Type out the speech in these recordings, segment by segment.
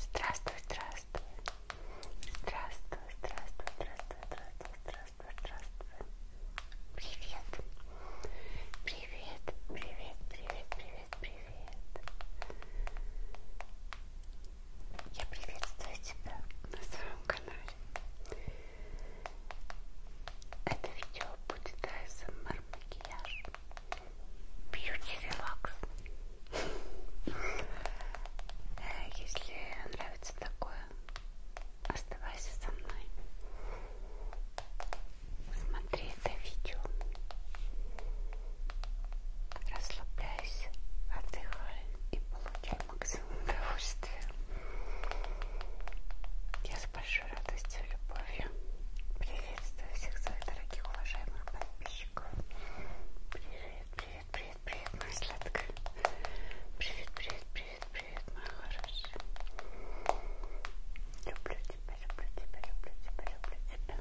Здравствуй, здравствуй. Здравствуй, здравствуй, здравствуй, здравствуй, здравствуй, здравствуй. Привет. Привет, привет, привет, привет, привет. Я приветствую тебя на своем канале. Это видео будет ASMR эм макияж. Beauty Relax. Э, если нравится такое, оставайся со мной. Смотри это видео. Расслабляйся, отдыхай и получай максимум удовольствия. Я с большой радостью и любовью приветствую всех своих дорогих уважаемых подписчиков. Зайчик. Привет, привет, привет, привет, моя сладкая. Привет, привет, привет, привет, моя хорошая. Люблю тебя, люблю тебя, люблю тебя, люблю тебя.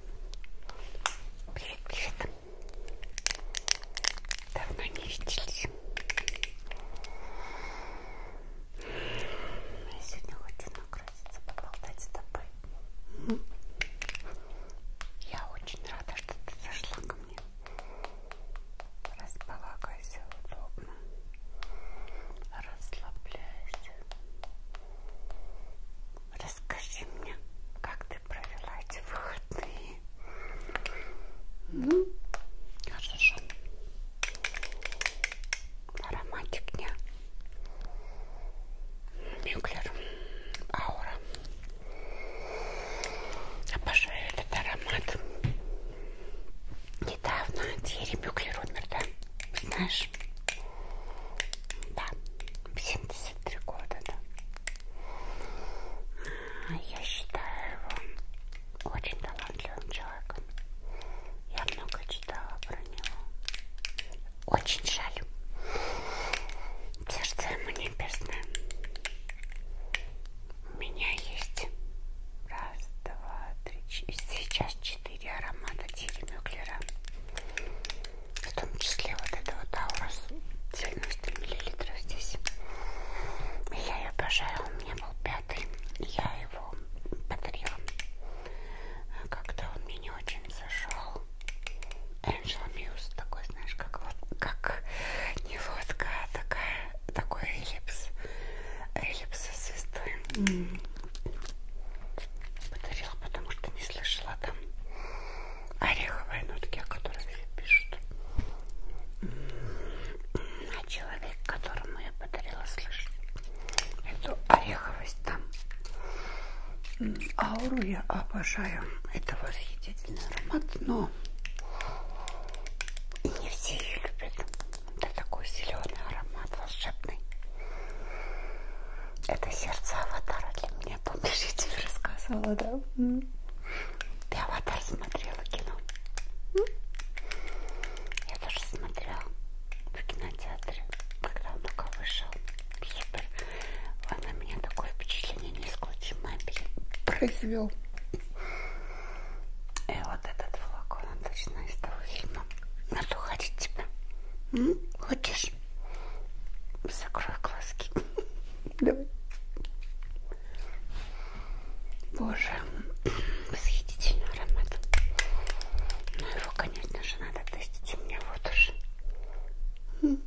Привет, привет. Давно не виделись. Я сегодня хочу накрыть месяца поболтать с тобой. Я очень рада, что ты зашла ко мне. Располагайся удобно. Расслабляйся. Расскажи мне, как ты провела эти выходные. Ну, хорошо. Ароматик дня. Мюклер Аура. Обожаю этот аромат. Недавно Терри Мюклер умер, да? Знаешь? Да, 73 года, да. А, я считаю его очень талантливым человеком. Я много читала про него. Очень жаль. Сердце ему небесное. У меня есть раз, два, три, четыре. Сейчас четыре аромата Тиремюклера. В том числе вот это вот Аурус 90 мл здесь. Я ее обожаю. У меня был пятый. Я его подарила. Как-то он мне не очень очень зашел. Angel Muse такой, знаешь, как вот как не лодка, а такая, такой эллипс. Эллипс со звездой. Mm -hmm. Подарила, потому что не слышала там ореховые нотки, о которых все пишут. Mm -hmm. А человек, которому я подарила, слышит эту ореховую есть там. Ауру я обожаю. Это восхитительный аромат, но не все ее любят. Это такой зеленый аромат волшебный. Это сердце аватара для меня. Помнишь, я тебе рассказывала, да? Ты аватар смотрела кино? Я тоже смотрела в кинотеатре, когда он только вышел. Супер он на меня такое впечатление несколько мебель произвел. И э, вот этот флакон, он точно из того фильма. Надо уходить тебя. М? Хочешь? Закрой глазки. Давай. Боже, восхитительный аромат. Но ну, его, конечно же, надо тестить у меня вот уже. Люблю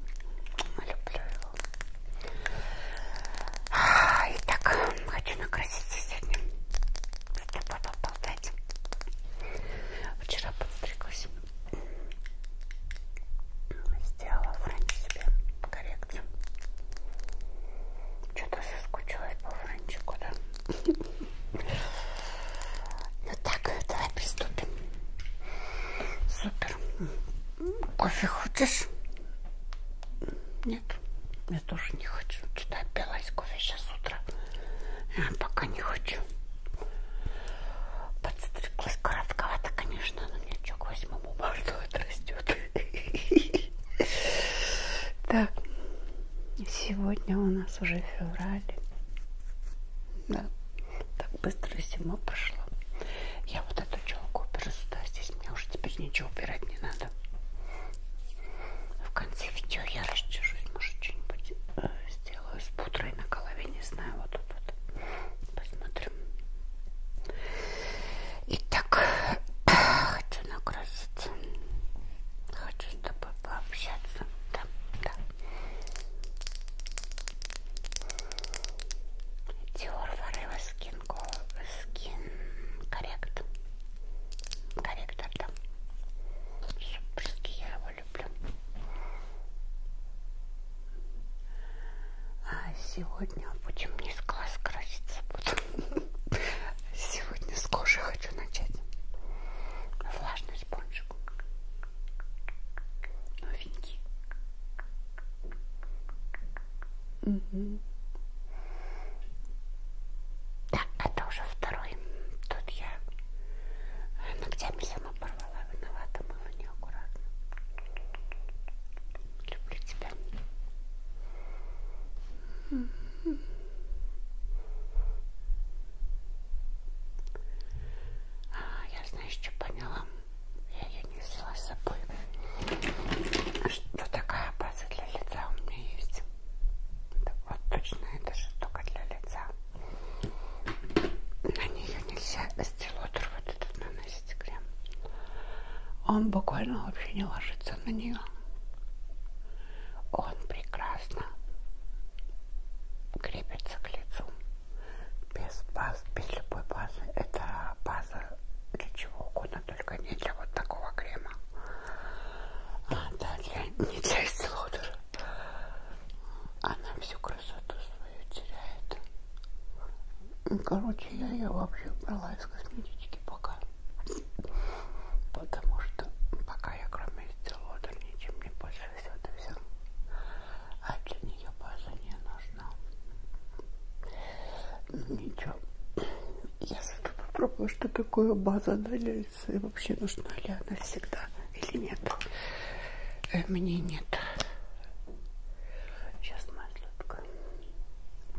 его. Итак, хочу накрасить сегодня. С тобой поболтать. Вчера подстриглась. Сделала френч себе коррекцию. Что-то соскучилась по френчику, да? Ну так, давай приступим. Супер. Кофе хочешь? Нет, я тоже не хочу. Что-то опилась кофе сейчас утро. Я а, пока не хочу. Подстриглась коротковато, конечно, но ничего, к 8 марта отрастет. Так, сегодня у нас уже февраль. Да. Так быстро зима прошла. Я вот эту челку уберу сюда. Здесь мне уже теперь ничего убирать не надо. В конце видео я расчешусь. Может, что-нибудь э, сделаю с пудрой на голове. Не знаю. Вот тут вот. Посмотрим. Итак, хочу накраситься. Хочу с тобой пообщаться. Да, да. Dior Forever Skin, Skin Correct. Корректор там. Суперский, я его люблю. А сегодня будем не с глаз краситься буду. Сегодня с кожи хочу начать. Влажный спонжик новенький. Угу. Да, это уже второй. Тут я ногтями сама порвала, виновата мыла неаккуратно. Люблю тебя. А, я, знаешь, что поняла? Я ее не взяла с собой. Что такая база для лица у меня есть. Вот точно эта штука для лица. На нее нельзя стилотер вот этот наносить крем. Он буквально вообще не ложится на нее. Он прекрасно крепится к лицу без баз, без любой базы. Это база для чего угодно, только не для вот такого крема. А, да, для, не для исслодера. Она всю красоту свою теряет. Ну, короче, я ее вообще брала из косметички пока. Потому что пока я кроме исцелодера ничем не пользуюсь, вот и все а для нее база не нужна. Ну, ничего. Я зато попробую, что такое база налится и вообще нужна ли она всегда или нет. Э, мне нет. Сейчас, моя сладкая.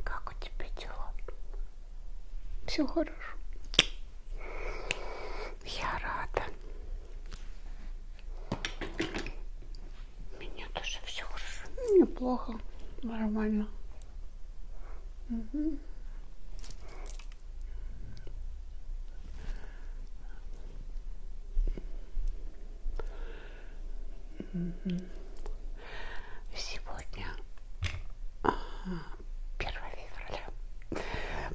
Как у тебя дела? Все хорошо. Я рада. У меня тоже все хорошо. Неплохо. Нормально. Угу. Сегодня 1 а, февраля.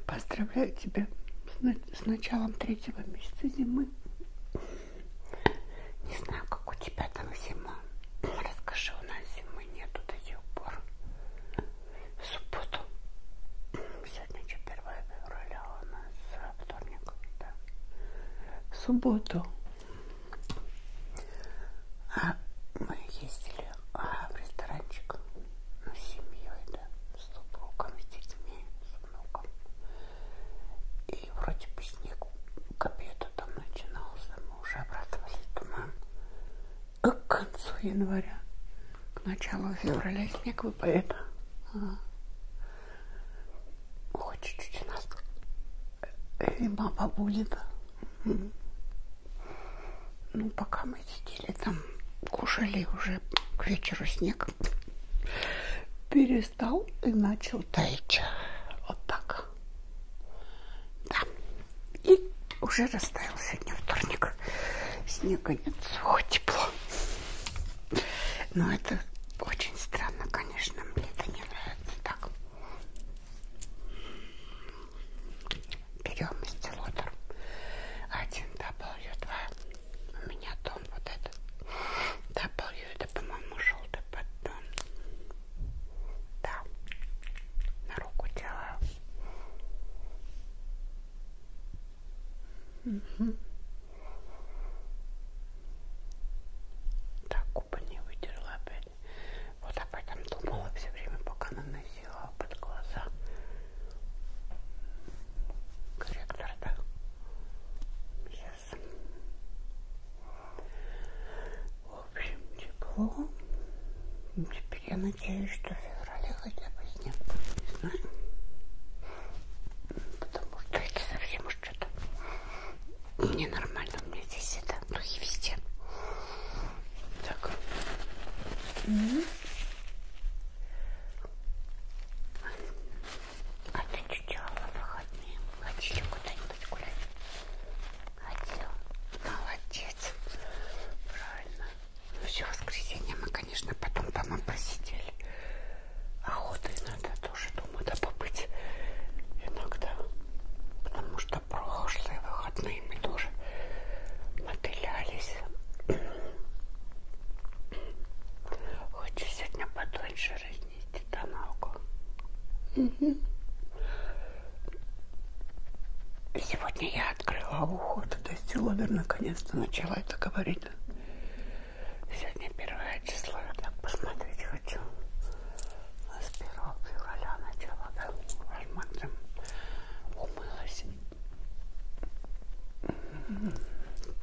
Поздравляю тебя с с началом третьего месяца зимы. Не знаю, как у тебя там зима. Расскажи, у нас зимы нету до сих пор. В субботу. Сегодня что, 1 февраля а у нас вторник. Да. В субботу. А мы ездили а, в ресторанчик ну, с семьей, да с супругом, с детьми, с внуком. И вроде бы снег к обеду там начинался, мы уже обрадовались, туман. А к концу января, к началу февраля снег выпадет. Ага. Хоть чуть-чуть у нас зима побудет. Угу. Ну, пока мы сидели там, кушали уже к вечеру снег перестал и начал таять. Вот так. Да. И уже растаял сегодня вторник. Снега нет, о, тепло. Но это очень странно, конечно, мне это не нравится так. Берем стилотер. Один W2 у меня тон вот этот W, это по-моему желтый подтон да на руку делаю угу. так губы не вытерла опять вот об этом думала все время пока наносила под глаза корректор, да? Сейчас. В общем, тепло. Теперь я надеюсь, что в феврале хотя бы снег будет, не знаю. Потому что это совсем уж что-то ненормально. У меня здесь это духи везде. Так. Угу. А ты что делала в выходные? Хотели куда-нибудь гулять? Хотел. Молодец. Правильно. Ну все, воскресенье мы, конечно, потом дома посидели. Охота иногда тоже, думаю, да побыть иногда. Потому что прошлые выходные мы тоже мотылялись. Хочу сегодня подольше разнести тоналку. Угу. Сегодня я открыла ухо, туда силовер наконец-то начала это говорить. Сегодня первое число, я так посмотреть хочу. С 1 февраля начала, да, возможно, умылась.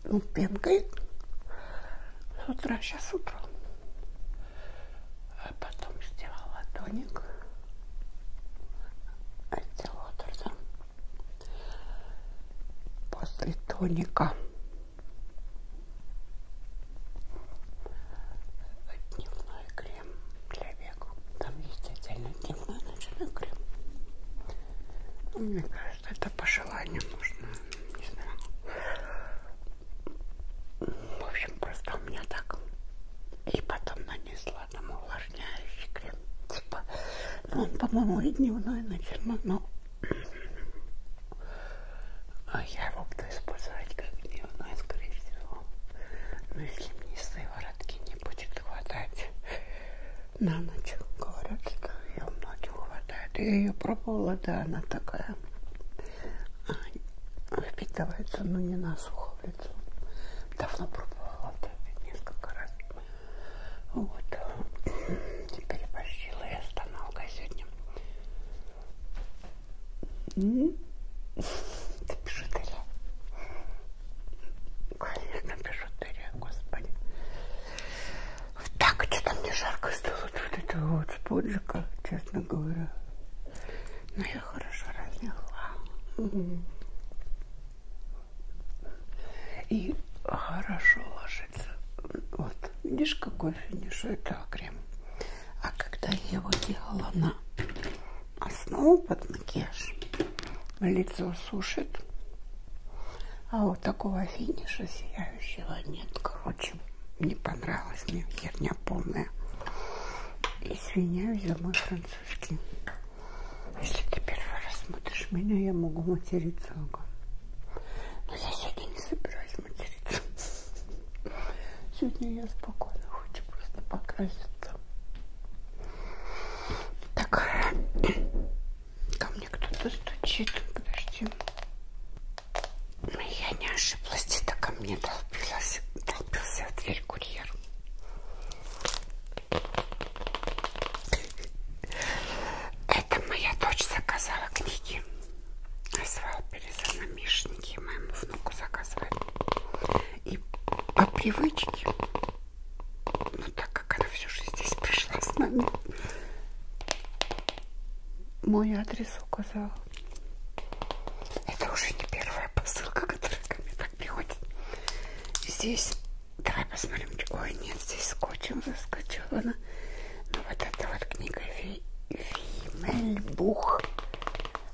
Ну, пенкает. С утра, сейчас утром. А потом сделала тоник от Лотерса. После тоника дневной крем для век. Там есть отдельно дневной ночной крем. Ну, мне кажется, это по желанию можно, не знаю. В общем, просто у меня так. И потом нанесла там увлажняющий крем. Типа, ну он, по-моему, и дневной, и ночной, но а я его буду использовать как дневной, скорее всего. Но если мне сыворотки не будет хватать, на ночь. Говорят, что ее многим хватает. Я ее пробовала, да, она такая а, впитывается, но не на сухо в лицо. Давно пробовала, да, несколько раз. Вот. А, Переборщила я с тоналкой сегодня. Ты пишешь, Конечно, пишу Терри, господи. Вот так, что-то мне жарко стало вот этого вот споджика, честно говоря. Но ну, я хорошо разняла. Угу. И хорошо ложится. Вот, видишь, какой финиш этого крема. А когда я его делала на основу под макияж, лицо сушит, а вот такого финиша сияющего нет. Короче, не понравилось мне. Херня полная. Извиняюсь за мой французский. Если ты первый раз смотришь меня, я могу материться. Но я сегодня не собираюсь материться. Сегодня я спокойно хочу просто покраситься. Так. Ко мне кто-то стучит. Подожди. Ну, я не ошиблась. Это ко мне толпилась, толпился в дверь курьер. Это моя дочь заказала книги. Назвал перезанамешники. Моему внуку заказывает. И по привычке но ну, так как она всю жизнь здесь пришла с нами, мой адрес указал. Это уже не первая посылка, которая ко мне так приходит. Здесь, давай посмотрим, ой, нет, здесь скотчем заскочевано. Но ну, вот эта вот книга Ви... Вимельбух.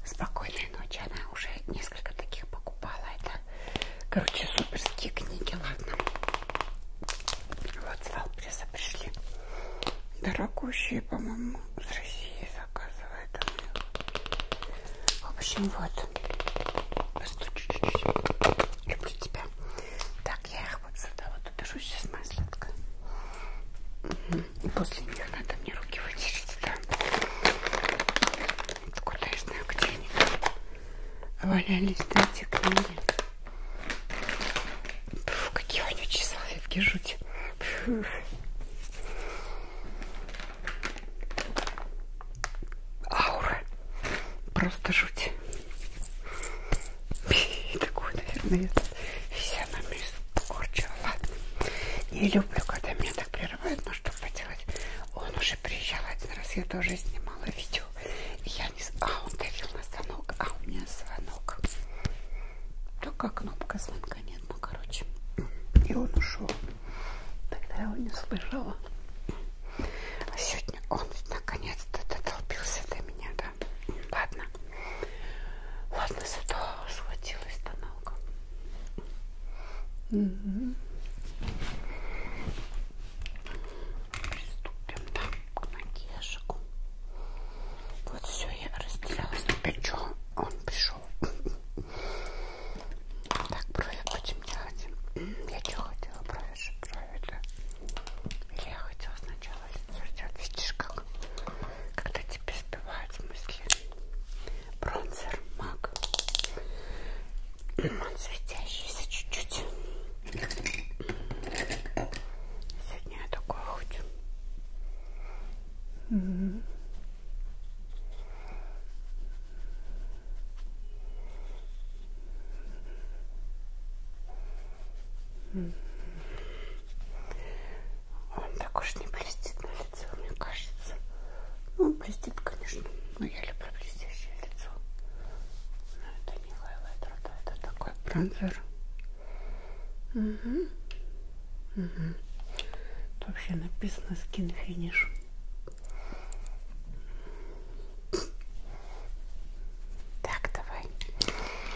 Спокойной ночи, она уже несколько таких покупала. Это, короче, суперские книги, ладно. Вот с Алпреса пришли. Дорогущие, по-моему, с России заказывают. В общем, вот. Постучу чуть-чуть. Люблю тебя. Так, я их вот сюда вот убежу. Сейчас моя сладкая. Угу. После них надо мне руки вытереть, да. Откуда я знаю, где они валялись, да, эти книги. Фу, какие вонючие салфетки, жуть. Фу. Аура. Просто жуть. Такую, наверное, физиономию скорчила. Ладно. Не люблю, когда меня так прерывают, но что поделать. Он уже приезжал один раз, я тоже снимала видео. И я не... А, он давил на звонок. А, у меня звонок. Только кнопка звонка нет. Ну, короче. И он ушел. Тогда я его не слышала. А сегодня он наконец-то дотолпился до меня, да? Ладно. Ладно, зато схватилась тоналка. Угу. Приступим да, к натяжку. Вот все, я разделялась. Теперь что? А он пришел. Так, брови будем делать. Я что хотела? Брови же брови, да? Или я хотела сначала сделать. Видишь, как? Когда тебе сбивают мысли. Бронзер, маг. Он светящийся чуть-чуть. Сегодня я такое хочу. Угу. Он так уж не блестит на лице, мне кажется. Ну, он блестит, конечно, но я люблю блестящее лицо знаю, это не хайлайтер, да, это такой бронзер. Угу. Угу. Тут вообще написано skin finish. Так, давай.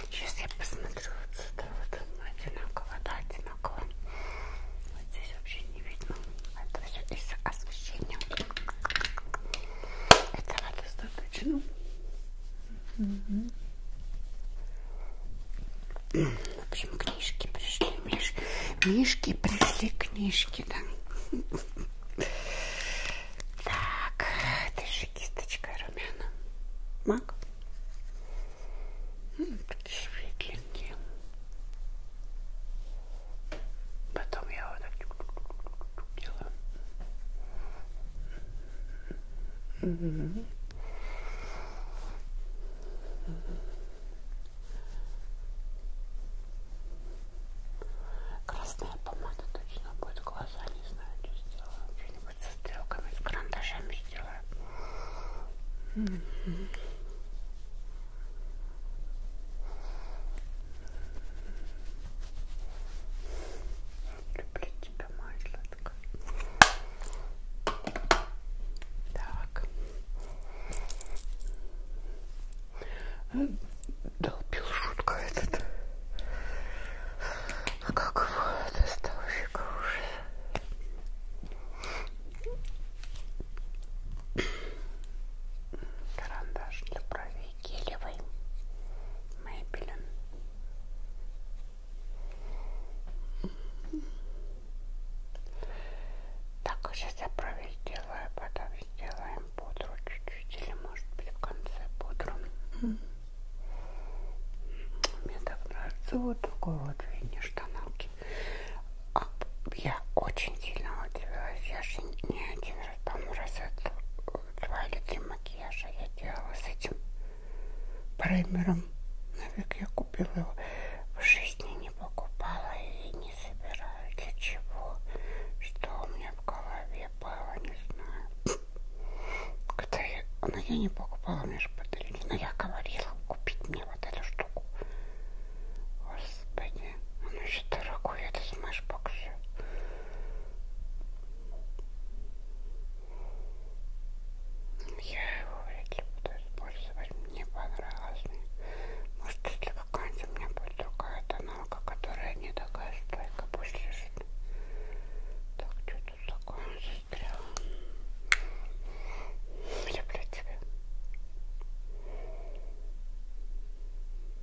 Сейчас я посмотрю вот сюда. Вот одинаково, да, одинаково. Вот здесь вообще не видно. Это все из освещения. Этого достаточно. Угу. В общем, книжки пришли, Миш... Мишки пришли книжки, да. Так, ты же кисточка румяна. Мак. Такие ну, светленькие. Потом я вот так тут делаю. Угу. Красная помада точно будет. Глаза не знаю, что сделаю. Что-нибудь со стрелками, с карандашами сделаю. Угу. Люблю тебя, моя сладкая. Так. Долбил шутка этот. А как его доставщика уже? Карандаш для бровей. Розовый гелевый Maybelline. Так, сейчас я брови сделаю, потом сделаем пудру чуть-чуть, или может быть в конце пудру. Мне так нравится вот такой вот финиш тоналки. А, я очень сильно удивилась, я же ни один там раза два или три макияжа я делала с этим праймером. Навек я купила его. В жизни не покупала и не собираю. Для чего? Что у меня в голове было, не знаю. Когда я... Но ну, я не покупала, мне же подарили. Но я говорила купить мне вот эту штуку. Господи, оно еще дорогое, это смешбокс. Я его вряд ли буду использовать. Мне понравилось. Может, если какая-нибудь у меня будет другая тоналка, которая не такая стойка, пусть лежит. Так, что тут такое застрял? Люблю тебя.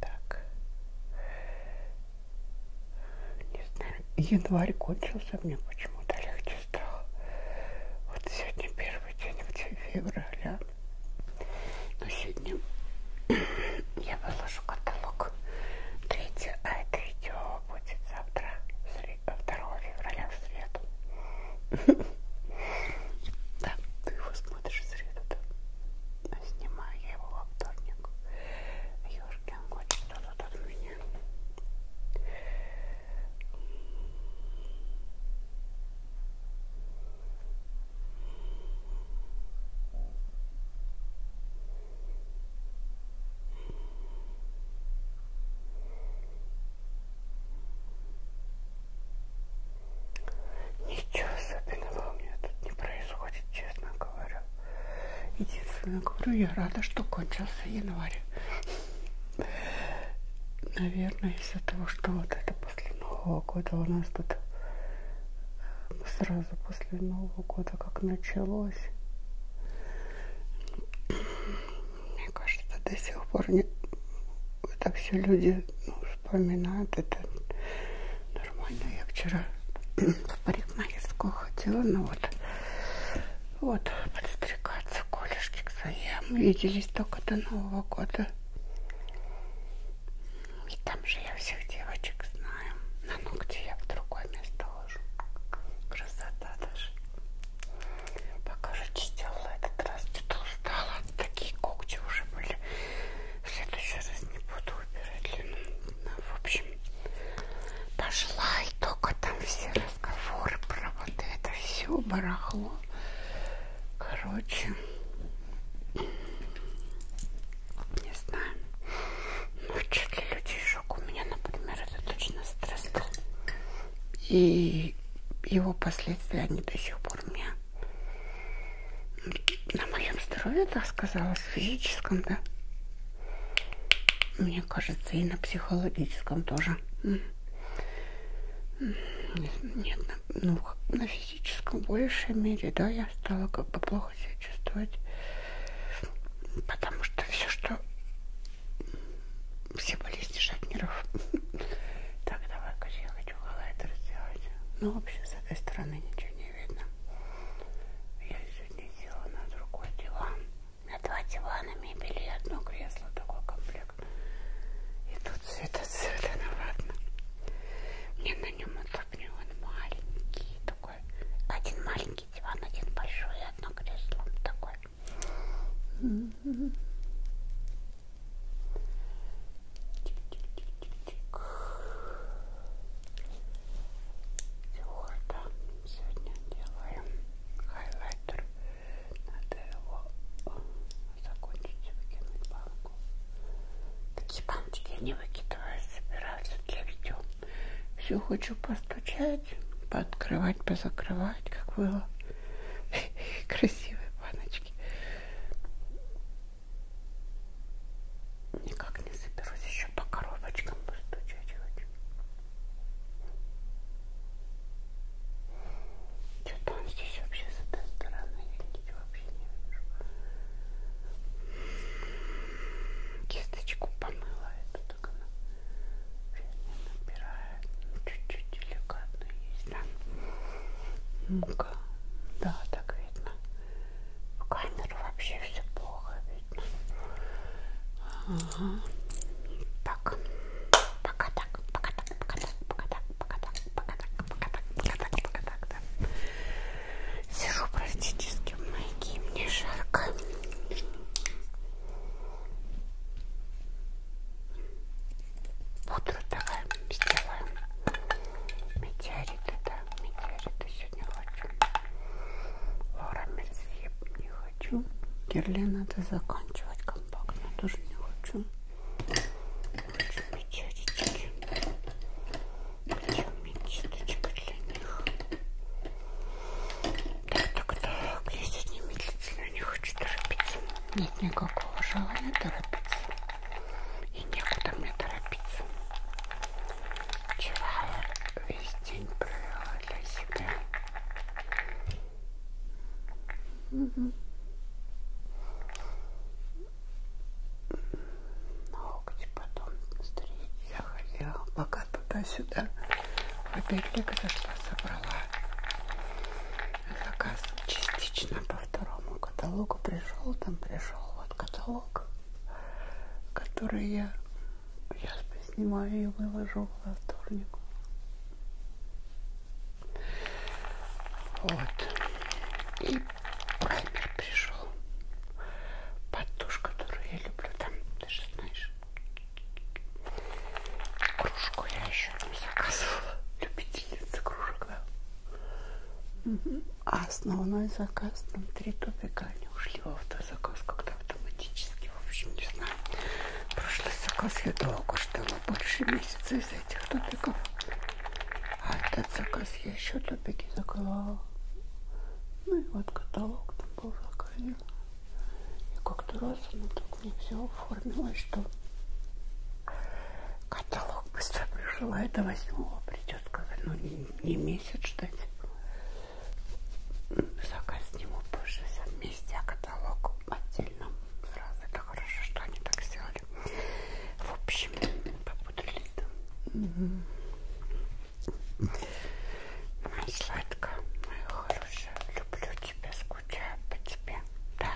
Так. Не знаю, январь кончился, мне почему-то легче стало. Вот сегодня первый день, где февраля. Но сегодня я выложу каталог. Третье, а это идет снова будет завтра, 2 февраля, в среду. Да, ты его смотришь в среду, да? А снимаю я его во вторник. Ёшкин кот, что тут от меня? Ничего особенного у меня тут не происходит, честно говорю. Единственное, говорю, я рада, что кончился январь. Наверное, из-за того, что вот это после Нового года у нас тут э, сразу после Нового года как началось. Мне кажется, до сих пор не... это все люди ну, вспоминают. Это нормально. Я вчера в парикмахерскую ходила, ну вот, вот, подстригаться колешки к своим. Виделись только до Нового года. Ну, и там же я всех девочек знаю. На ногти я в другое место ложу. Красота даже пока же чистила этот раз, что-то устала, такие когти уже были, в следующий раз не буду убирать длину, ну, в общем, пошла и только там все разговоры про вот это все барахло, короче, не знаю, ну что для людей шок, у меня, например, это точно стресс был. И его последствия, они до сих пор мне на моем здоровье, так сказала, физическом, да. Мне кажется, и на психологическом тоже. Нет, на, ну, на физическом в большей мере, да, я стала как бы плохо себя чувствовать. Потому что все, что все болезни шатнеров. Так, давай-ка я хочу коллайдер сделать. Ну, вообще, с этой стороны ничего не видно. Я сегодня делала на другой диван. На два дивана мебели и одно кресло. Такой комплект. И тут цвета-цвета, ну ладно. Мне на нем удобнее. Он маленький такой. Один маленький диван, один большой и одно кресло. Такой. Твердо сегодня делаем хайлайтер. Надо его закончить, выкинуть банку. Такие баночки я не выкидываю, собираю все для видео. Все хочу поставить постучать, пооткрывать, позакрывать, как было. Красивые баночки. Никак не соберусь еще по коробочкам постучать хочу. Что-то он здесь вообще с этой стороны, я ничего вообще не вижу. Кисточку помыла эту так она уже не набирает. Ну, чуть-чуть деликатно есть, да? Ну-ка. Да, так видно. В камеру вообще все плохо видно. Ага. Так. Пока так, пока так, пока так, пока так, пока так, пока так, пока так, пока так, пока так, да. Сижу практически в майке, мне жарко. Пудру давай сделаем. Метеорит это, метеориты сегодня хочу. Лора Мерсье не хочу. Герлен надо заканчивать компактно, тоже не хочу. Хочу метеоритики. Причем метисточка для них. Так, так, так, я сегодня медлительно не хочу торопиться. Нет никакого желания торопиться. И некуда мне торопиться. Вчера я весь день провела для себя. Угу. Ногти потом встретить я хотела. Пока туда-сюда. Опять Лика зашла, собрала заказ частично по второму каталогу. Пришел, там пришел вот каталог, который я, я снимаю и выложу во вторник. Вот. И праймер пришел. Под тушь, которую я люблю. Там, ты же знаешь, Кружку я еще не заказывала. Любительница кружек, да? Угу. А основной заказ нам три топика. Они ушли в автозаказ как-то автоматически. В общем, не знаю. Прошлый заказ я долго ждала. Больше месяца из этих топиков. А этот заказ я еще топики заказала. Ну и вот каталог там был заказан. И как-то раз она так мне все оформила, что каталог быстро пришла, это восьмого а придет, когда ну не, не месяц ждать. Заказ сниму позже все вместе, а каталог отдельно сразу. Это хорошо, что они так сделали. В общем, попутались там. Угу. Моя сладкая, моя хорошая, люблю тебя скучаем по тебе. Да.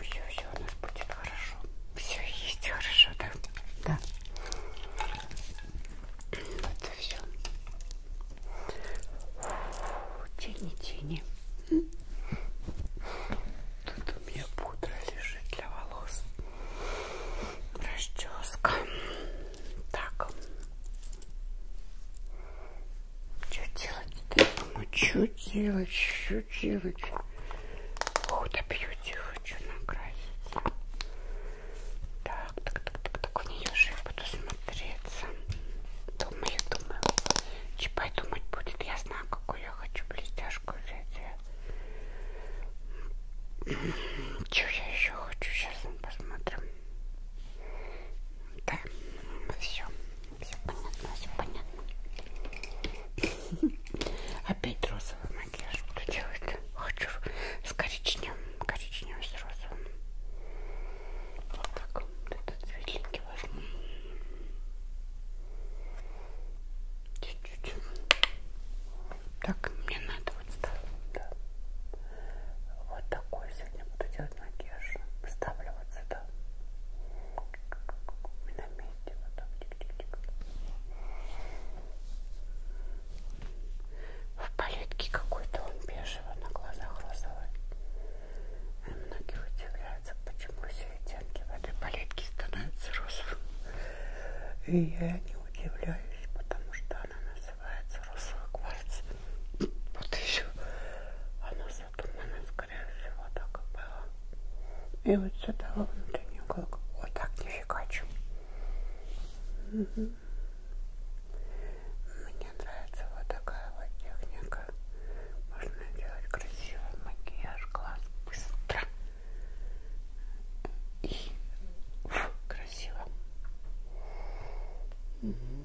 Все, все у нас будет хорошо. Все есть хорошо, да? Да. Вот и все. Тени-тени. Тут у меня пудра лежит для волос. Расческа. Так. Что делать-то, мама? Что делать? Ну Что делать? Худо бьюти хочу накрасить. Так, так, так, так, так, в нее же я буду смотреться. Думаю, думаю. Чипай думать будет. Я знаю, какую я хочу блестяшку взять. Что я еще хочу? Сейчас мы посмотрим. Да, все, все понятно, все понятно. Опять розовый макияж буду делать. Хочу с коричневым, коричневым с розовым. Вот так, вот этот светленький возьму. Чуть-чуть. Так, мне надо вот так. Да. Вот такой сегодня буду делать макияж. Ставлю вот сюда. И на месте вот так. Тик -тик -тик. В палетке какой-то он бежевый, на глазах розовый. И а многие удивляются, почему все оттенки в этой палетке становятся розовым. И я не удивляюсь, потому что она на называется розовый кварц. Вот еще она задумана, скорее всего, так и было. И вот сюда во внутренний уголок. Вот так нифига чем. Угу. Мне нравится вот такая вот техника. Можно делать красивый макияж, глаз быстро. И фу, красиво. Угу.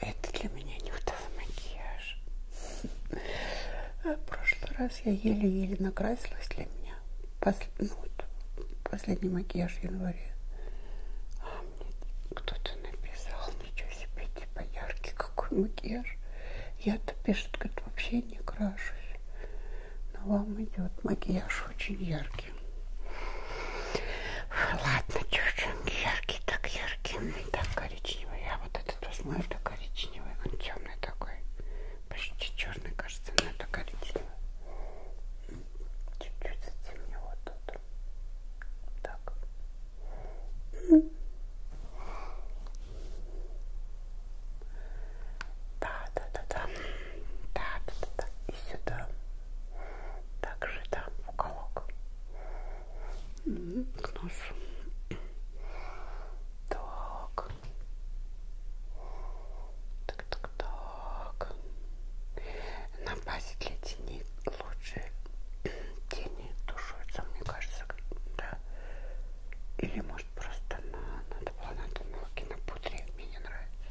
Это для меня нюдовый макияж. В прошлый раз я еле-еле накрасилась для меня. Посл... Ну, вот, последний макияж в январе. А мне кто-то написал, ничего себе, типа яркий какой макияж. Я-то пишет, говорит, вообще не крашусь. Но вам идет макияж очень яркий яркий. Ладно, девчонки, яркий, так яркий, так коричневый. Я а вот этот возьму, это коричневый, он темный такой, почти черный, кажется, но это коричневый. Чуть-чуть затемнил вот тут. Так. Да, да, да, да. Да, да, да, да. И сюда также там в уголок к носу. Так. Так, так, так. На базе для теней лучше тени тушуются, мне кажется, да. Или может просто на, надо было на этом молоке на пудре, мне не нравится.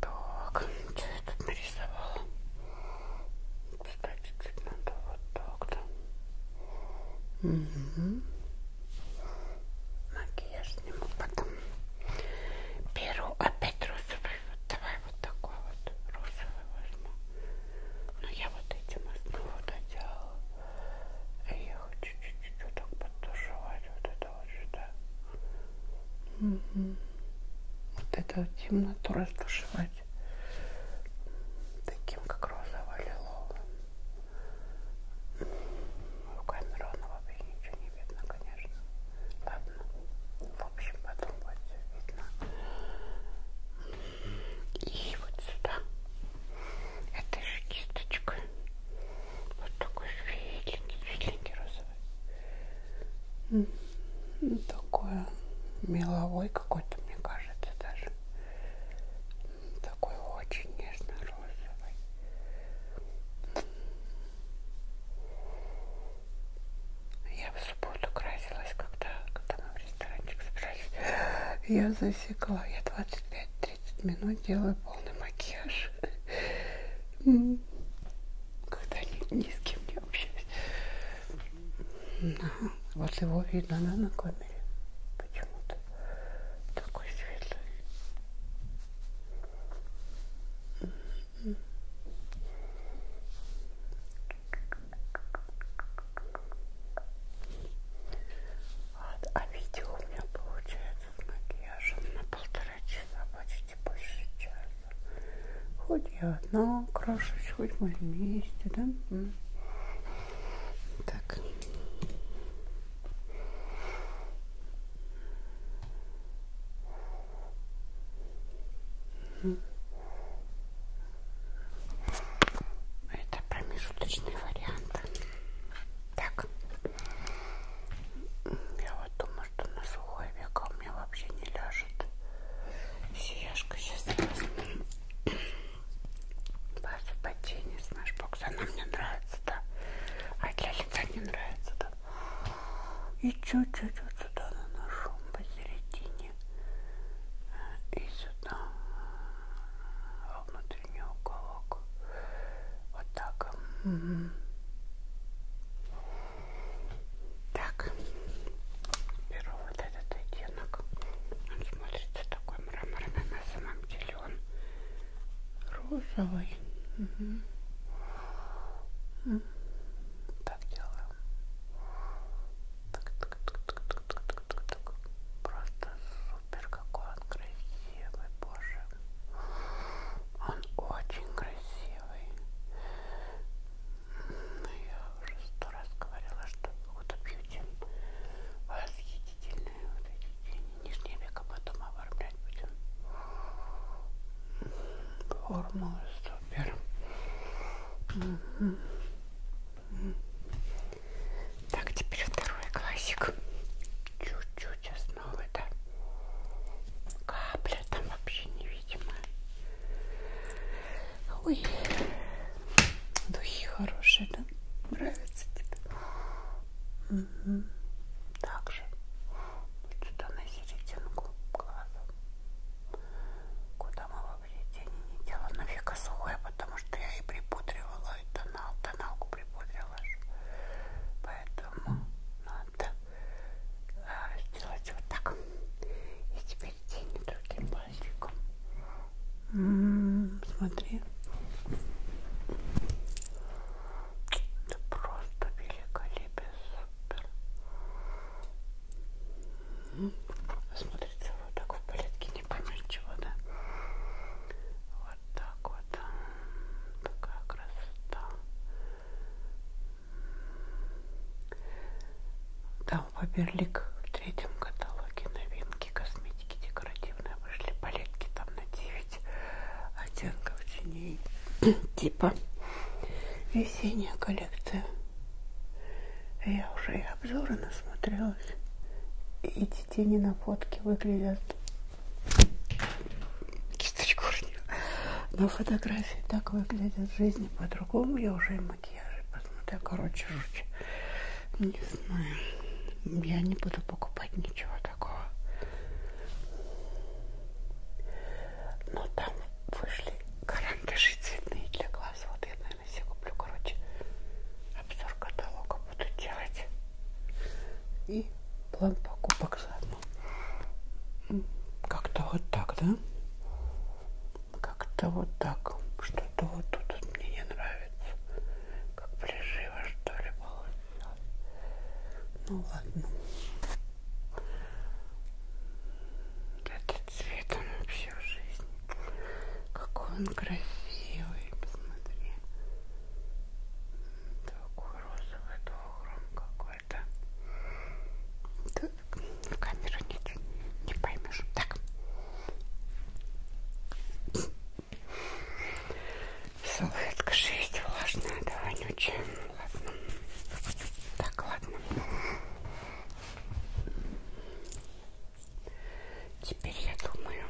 Так, что я тут нарисовала? Кстати, чуть надо вот так-то. Угу. Макияж сниму потом. Беру опять розовый. Вот давай вот такой вот розовый возьму. Но ну, я вот этим основу доделала. И а я хочу чуть-чуть вот так подтушевать вот это точно. Угу. Вот эту вот темноту растушевать таким, как розово-лиловым. В камеру оно вообще ничего не видно, конечно. Ладно, в общем, потом будет все видно. И вот сюда. Это же кисточка. Вот такой светленький, светленький розовый. Такое меловой какой-то, мне кажется, даже. Такой очень нежно-розовый. Я в субботу красилась, когда, когда мы в ресторанчик собрались. Я засекла. Я 25-30 минут делаю полный макияж когда ни, ни с кем не общаюсь. Ага. Вот его видно, да, на камере? Почему-то такой светлый. А, а видео у меня получается с макияжем на полтора часа почти можете больше часа. Хоть я одна крашусь, хоть мы вместе, да? Так. Это промежуточный вариант. Так. Я вот думаю, что на сухой века у меня вообще не ляжет. Сияшка сейчас возьму. Базу по тени, знаешь, бокс, она мне нравится, да. А для лица не нравится, да. И чуть-чуть вот сюда наношу, посередине. Э, и сюда, во э, внутренний уголок. Вот так. Угу. Так. Беру вот этот оттенок. Он смотрится такой мраморный. На самом деле он розовый. Угу. Так делаю. Так, так, так, так, так, так, так, так, так. Просто супер, какой он красивый, боже. Он очень красивый. Ну, я уже сто раз говорила, что Huda Beauty восхитительные вот эти тени. Нижнее веко потом оформлять будем. Формула супер. Угу. Так, теперь второй классик. Чуть-чуть осталось ну это капля там вообще невидимая. Ой, духи хорошие, да? Нравится тебе? Угу. Также вот сюда на серединку глаза. Куда мы вообще тени не делаем? Нафига сухое, потому что я и припудривала, и тонал, тоналку припудривала. Поэтому, ну надо а, сделать вот так. И теперь тень другим пальчиком. М м-м, -м, смотри. Это просто великолепие, супер. М-м, Смотрится вот так в порядке, не поймешь чего, да? Вот так вот. Такая красота. Да, Фаберлик в третьем каталоге новинки косметики декоративные вышли. Палетки там на 9 оттенков теней. типа весенняя коллекция. Я уже и обзоры насмотрелась. И эти тени на фотке выглядят кисточку уронила. На фотографии так выглядят в жизни по-другому. Я уже и макияж посмотрю. Короче, жуть. Не знаю. Я не буду покупать ничего такого. Но там вышли карандаши цветные для глаз. Вот я, наверное, себе куплю. Короче, обзор каталога буду делать и план покупок заодно. Как-то вот так, да? Как-то вот так. Что-то вот тут мне не нравится. Как приживо, что ли, получилось. Ну ладно. Этот цвет, он вообще в жизни. Какой он красивый. Посмотри. Такой розовый, то огром какой это Тут в камеру нет, не поймешь. Так. Салфетка 6, влажная, да, вонючая. Ладно. Так, ладно. Теперь я думаю,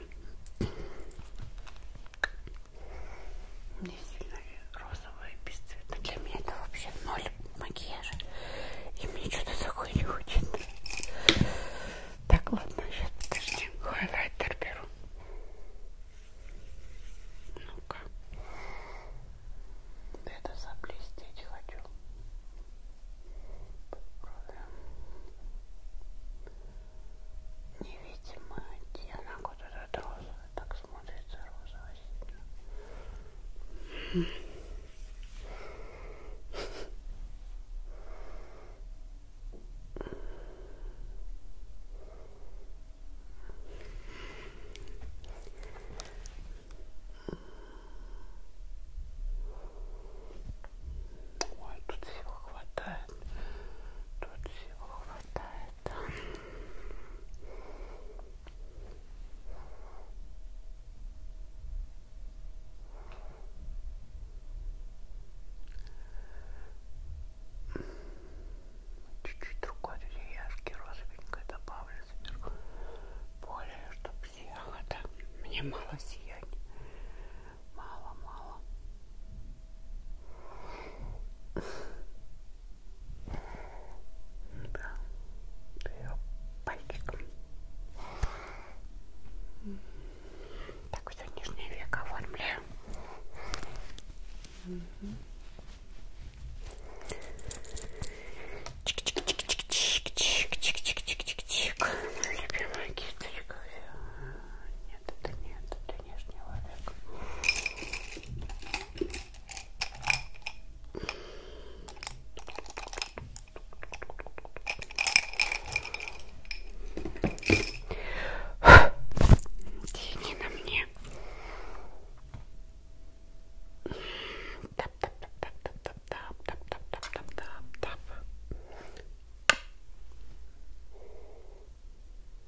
мне сильно розовое бесцветно. Для меня это вообще ноль макияжа. И мне что-то такое не хочется. Так, ладно, сейчас подожди. Хайлайтер беру. Ну-ка. Это заблестеть хочу. Подправим. Невидимая оттенок. Вот этот розовый. Так смотрим смотрится розово сильно. Ой, тут всего хватает, тут всего хватает это. Чуть-чуть другой деревяшки розовенькой добавлю сверху. Более, чтобы сияло. Да? Мне мало сияния. Мало-мало да, ее пальчиком. Так, все нижнее веко оформляю. Угу. Чик-чик-чик-чик-чик-чик-чик-чик-чик-чик. Моя любимая кисточка. Нет, это нет, это нижнего века. Тени на мне. Тап, тап, тап, тап, тап, тап, тап, тап, тап, тап, тап, тап.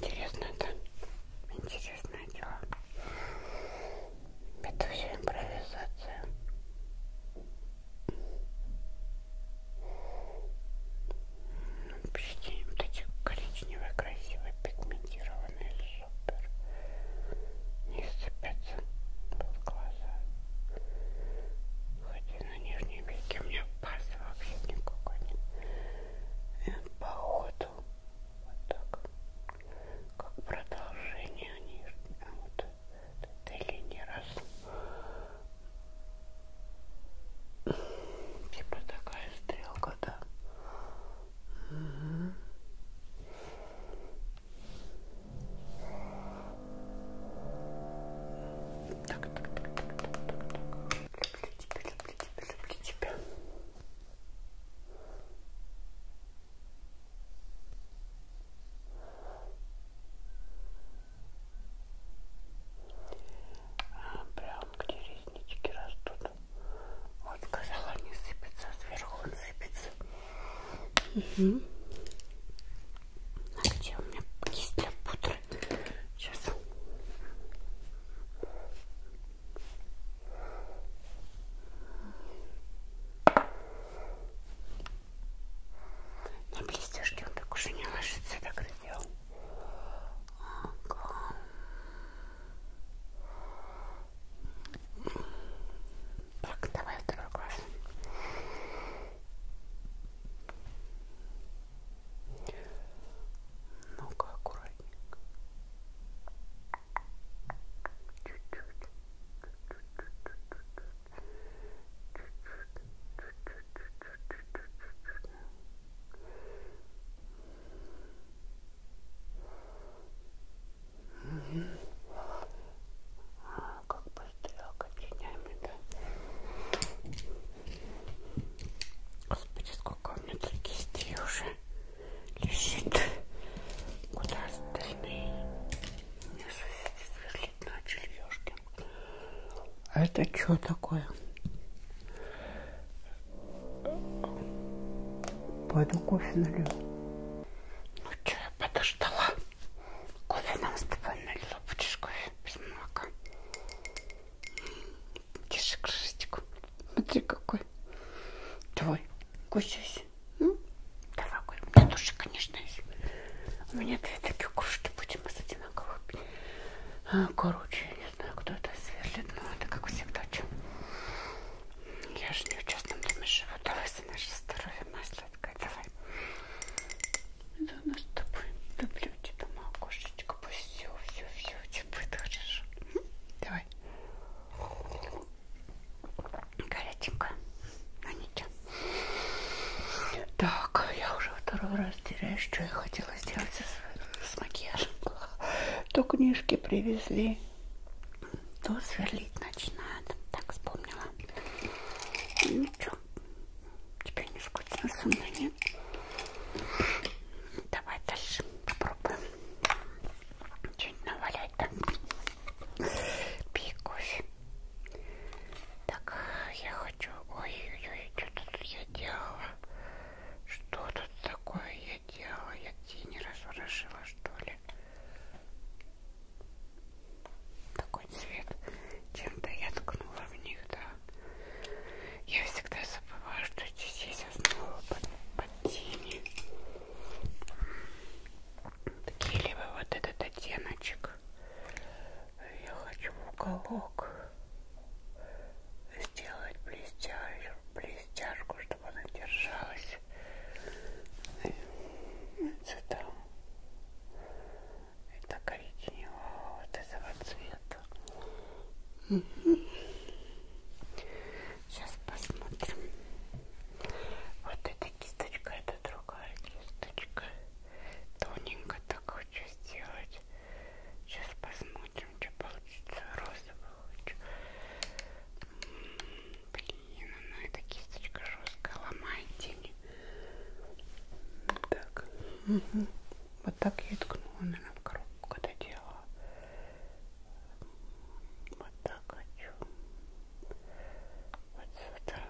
Интересно, это интересное дело. Это все импровизация. Ну, Почти вот эти коричневые, красивые, пигментированные лежат супер. Не сцепятся под глаза. Хотя на нижнем веке у меня паз вообще никакой нет. И по ходу вот так. Как продолжение нижнего. Вот этой линии раз. Типа такая стрелка, да. Угу. Так, так, так, так, так, так. Люблю тебя, люблю тебя, люблю тебя. А, прям где реснички растут. Вот сказала, не сыпется, сверху он сыпется. Угу. А где у меня кисть для пудры? Сейчас. На блестяшке он так уже не ложится, так это делал. Ага. Так, давай второй глаз. Ну-ка, аккуратненько. Чуть-чуть. Чуть-чуть. Как быстро окончаниями, да? Господи, сколько у меня таких кистей уже лежит. Куда остальные? Мне соседи сверлить начали, ёшкин. А это что такое? Пойду кофе налью. Ну что, я подождала. Кофе нам с тобой налила. Будешь кофе без молока? Держи крышечку. Смотри, какой. Давай, кусайся. Ну, давай, Коль. У меня тоже, конечно, есть. У меня две такие кружки будем из одинаковых. А, короче, я не знаю, кто это сверлит, но это, как всегда, чем. Я же не в частном доме живу. Давай за наше здоровье, моя сладкая, давай. Это у нас с тобой. Люблю тебя, моя кошечка. Пусть все, все, все, чем будет хорошо. Давай. Горяченько. А ничего. Так, я уже второй раз теряю, что я хотела сделать с, с макияжем. То книжки привезли то сверлить начинают. Так вспомнила. Ну что, теперь не скучно со мной, нет? Давай дальше попробуем что-нибудь навалять там. Пей кофе. Так, я хочу... Ой-ой-ой, что тут я делала? Что тут такое я делала? Я тени разворошила, что ли? такой цвет чем-то я ткнула в них, да я всегда забываю, что здесь есть основа под, под тени такие либо вот этот оттеночек я хочу в уголок сделать блестяшку, блестяшку, чтобы она держалась. Цвета. Это коричневого вот этого цвета. Угу. Сейчас посмотрим. Вот эта кисточка, это другая кисточка. Тоненько так хочу сделать. Сейчас посмотрим, что получится. Розовый хочу. Блин блин, ну эта кисточка жесткая, ломает тени. Так. Угу. Вот так я и ткнула, наверное, в коробку, когда делала. Вот так хочу. Вот сюда.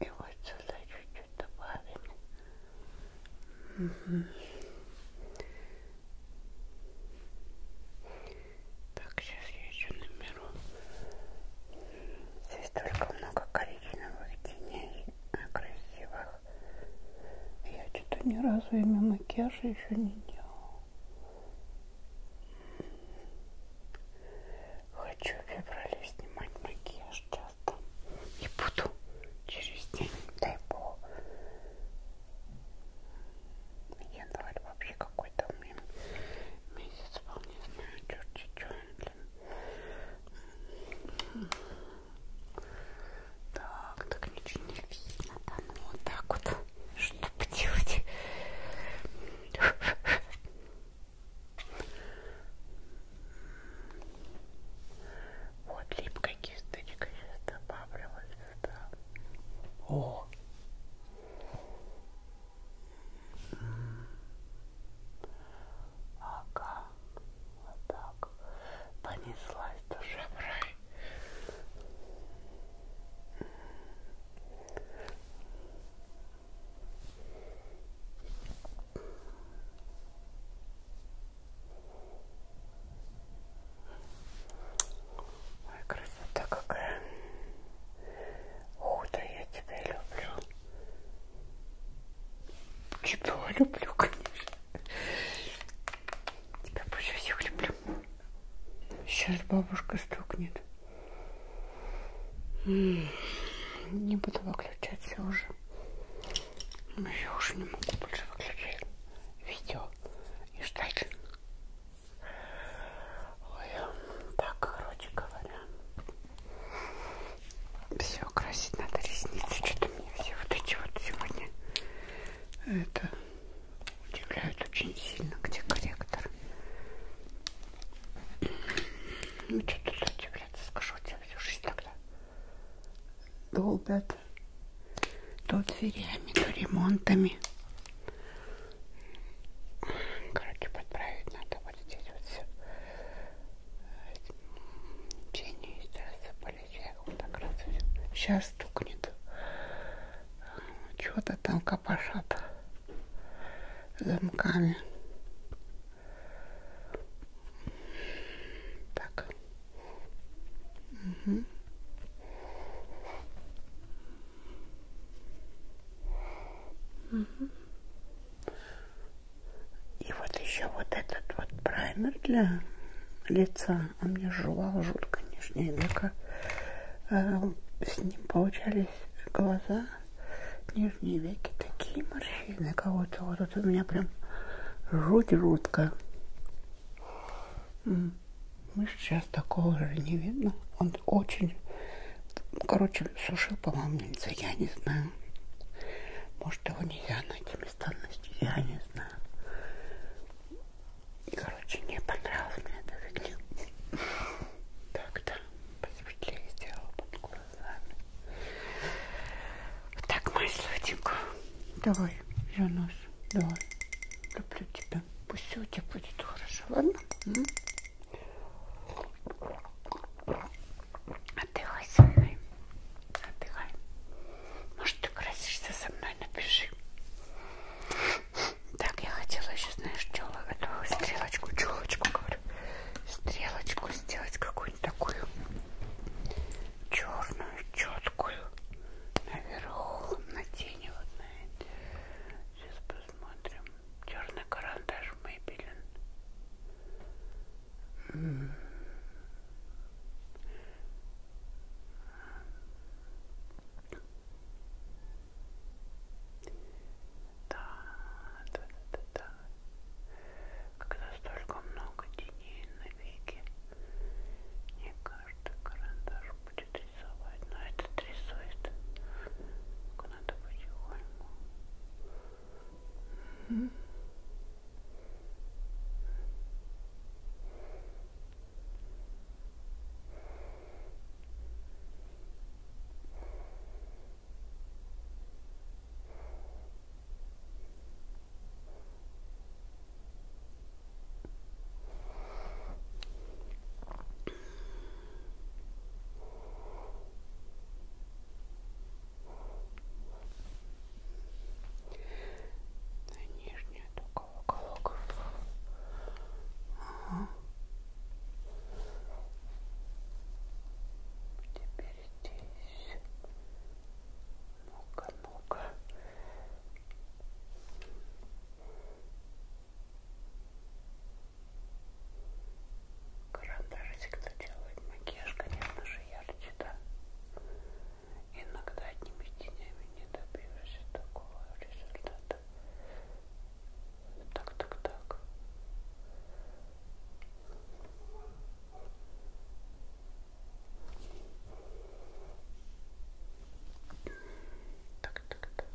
И вот сюда чуть-чуть добавим. Угу. Так, сейчас я еще наберу. Здесь только много коричневых теней э, красивых. Я что-то ни разу ими макияжа еще не делала. Хочу в феврале снимать макияж часто. И буду через день, дай бог. Январь вообще какой-то у меня месяц, вполне знаю, черти че, блин. Так, так ничего не видно, да, ну вот так вот, что поделать. Вот, липкой кисточкой сейчас добавлю вот сюда. О! М -м. Ага, вот так. Понеслась душа в рай. М -м. Ой, красота какая. Худо, я тебя люблю. Тебя люблю, конечно. Тебя больше всех люблю. Сейчас бабушка стукнет. Не буду выключаться уже. Я уже не могу больше выключать видео и ждать. Ой, так, короче говоря, все красить надо ресницы. Что-то мне все вот эти вот сегодня это удивляют очень сильно, где корректор. Ну что тут удивляться, скажу тебе всю жизнь тогда долбят то дверями, то ремонтами. Короче, подправить надо вот здесь вот все. Тени рассыпались, я вот так раз Сейчас стукнет. Чего-то там копошат замками. Так, Угу. Угу. И вот еще вот этот вот праймер для лица. Он мне жевал жутко нижняя века. А, с ним получались глаза, нижние веки, такие морщины кого-то. Вот тут у меня прям жуть жутко. Мышц сейчас такого же не видно. Он очень, короче, сушил, по-моему, нельзя, я не знаю. Может, его нельзя найти местонности, я не знаю. Короче, не понравилось мне эта фигня. Так-то посветлее сделала под глазами. Так, мою сладенькую, давай, я нос. Да, люблю тебя. Пусть все у тебя будет хорошо, ладно? М? Отдыхай со мной. Отдыхай. Может, ты красишься со мной, напиши. Так, я хотела еще, знаешь, чё, эту а стрелочку, челочку, говорю, стрелочку сделать какую-нибудь такую черную четкую наверху на тени вот на эти. Сейчас посмотрим. Черный карандаш Maybelline. Mm. Да, да, да, да, да. Когда столько много теней на веке не каждый карандаш будет рисовать, но этот рисует. Надо потихоньку. Mm -hmm. На нижнюю только уголок. Ага. Теперь здесь. Ну-ка, ну-ка. Карандашик, кто делает макияж, конечно же, ярче, да? Иногда одними тенями не добьешься такого результата. Так, так, так. Tuck, tuck, tuck. -hmm.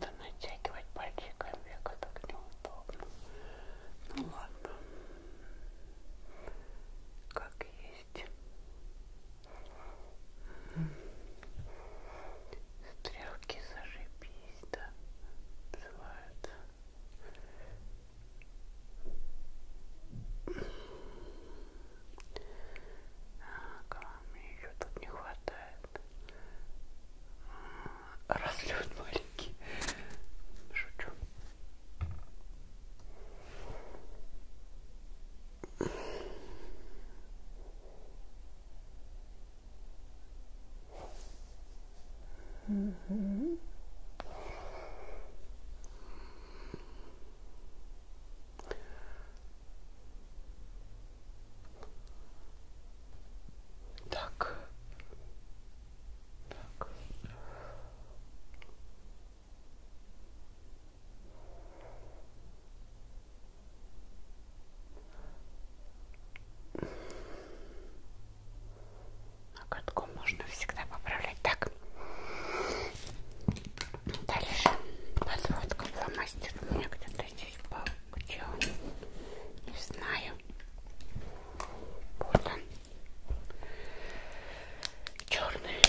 Let натягивать пальчиком века так неудобно. Ну ладно. Как есть. Стрелки зашибись, да, называются. А, кого мне еще тут не хватает? Разлет маленький. Шучу. Угу. Так. Так. А катком можно всегда поправлять. Так. Дальше подводка фломастер. У меня где-то здесь был где он? Не знаю. Вот он. Черный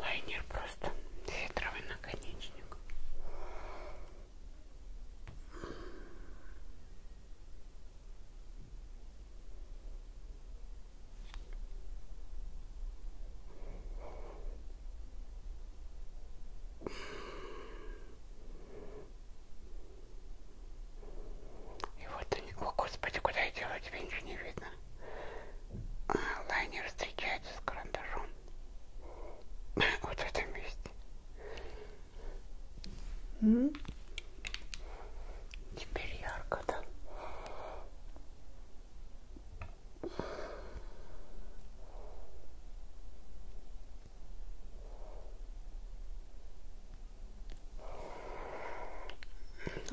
лайнер просто. Фетровый наконечник. И вот они... О, господи, куда я делаю? Тебя ничего не видно. А, лайнер встречается с карандашом. Вот в этом месте. Mm. Теперь ярко, да?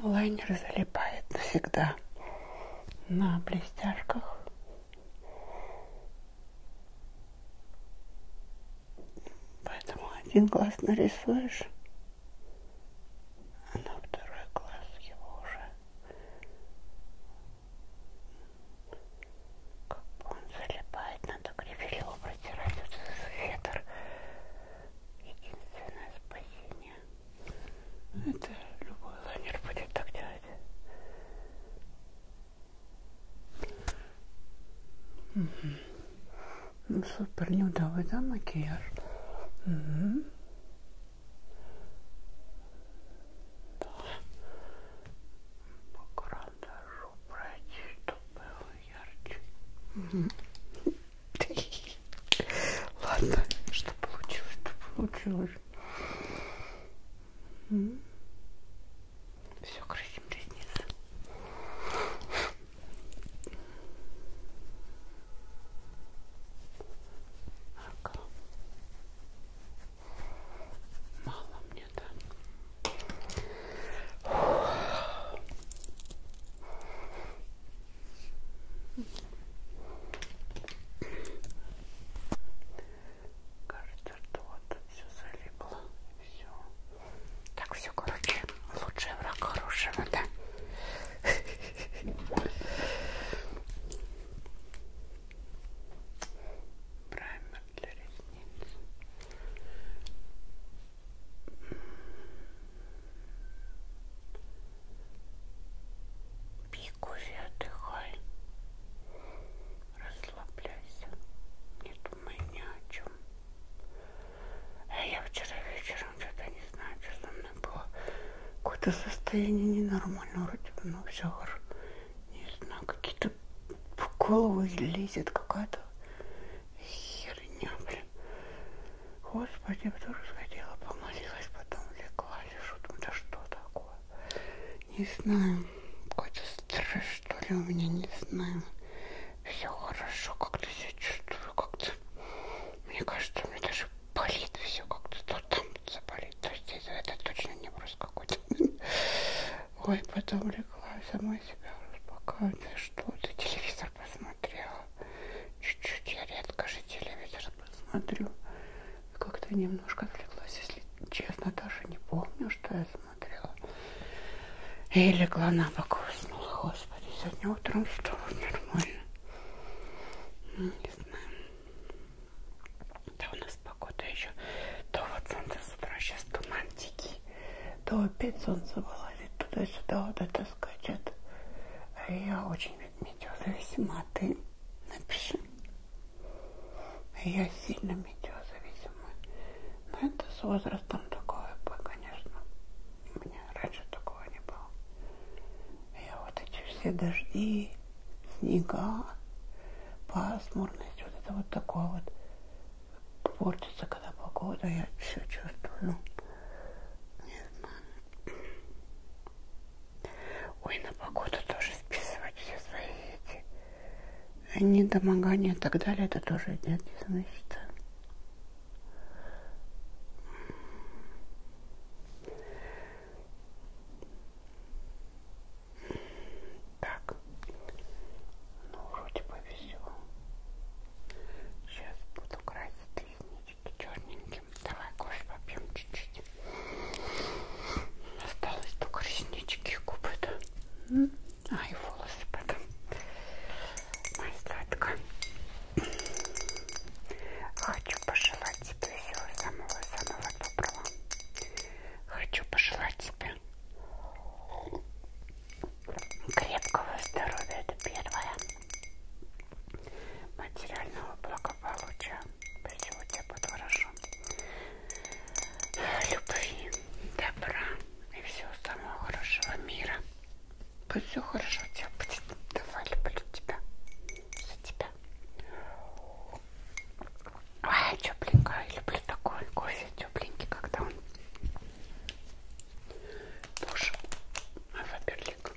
Лайнер залипает навсегда на блестяшках. Поэтому один глаз нарисуешь, а на второй глаз его уже как он залипает, надо грифелево протирать вот этот фетр. Единственное спасение. Это любой лайнер будет так делать. Угу. Ну, супер нюдовый, да, макияж? Угу. Да. По карандашу пройти, чтобы ярче. Угу. Ладно, что получилось, то получилось. Угу. Все, красим ресницы. Ага. Мало мне, да? Кажется, что вот все залипло. Все. Так все, короче, лучший враг хорошего, да? Праймер для ресниц. Пей кофе, отдыхай. Расслабляйся. Не думай ни о чем. А э, я вчера вечером что-то не знаю, что со мной было. Какое-то состояние ненормальное вроде бы, ну все хорошо. Не знаю, какие-то в голову лезет какая-то Херня, блин. Господи, я тоже сходила, помолилась, потом легла, лежу. Думаю, да что такое? Не знаю. Какой-то стресс, что ли, у меня, не знаю. Все хорошо, как-то себя чувствую, как-то... Мне кажется, у меня даже болит все как-то. То там заболит, то здесь. А это точно не просто какой-то... Ой, потом легла, сама себя успокаиваю. Ты что, ты телевизор посмотрела? Чуть-чуть, я редко же телевизор посмотрю. Как-то немножко отвлеклась, если честно, даже не помню, что я смотрела. И легла на бок уснула. Господи, сегодня утром встала нормально. Ну, не знаю. Да у нас погода еще. То вот солнце с утра, сейчас туман дикий то опять солнце вылазит туда-сюда, вот это скачет. А я очень от метеозависима, а ты напиши. А я сильно метеозависима. Но это с возрастом такое, конечно. У меня раньше такого не было. А я вот эти все дожди, снега, пасмурность, вот это вот такое вот портится, когда погода, я все чувствую. Ну, не знаю. Ой, на погоду тоже списывать все свои эти э, недомогания и так далее, это тоже идет, значит. Так, ну вроде бы все. Сейчас буду красить реснички черненьким. Давай кофе попьем чуть-чуть. Осталось только реснички и губы, да? А, и волосы потом. Моя сладкая. Хочу пожелать тебе всего самого-самого доброго. Хочу пожелать тебе Крепкого здоровья, это первое. Материального благополучия. Все у тебя будет хорошо. Любви, добра и всего самого хорошего мира. Пусть все хорошо у тебя будет. Давай, люблю тебя. За тебя. Ай, тепленькая. Люблю такой кофе тепленький, когда он тоже Фаберлик.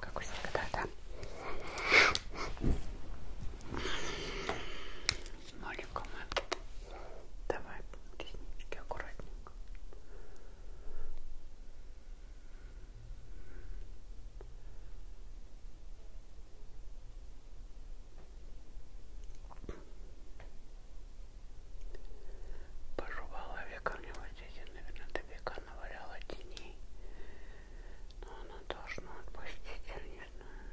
Как у всегда, да? Малика Давай реснички аккуратненько. Пожевала веками вот здесь, наверное, до века наваляла теней. Но она должна отпустить, я не знаю.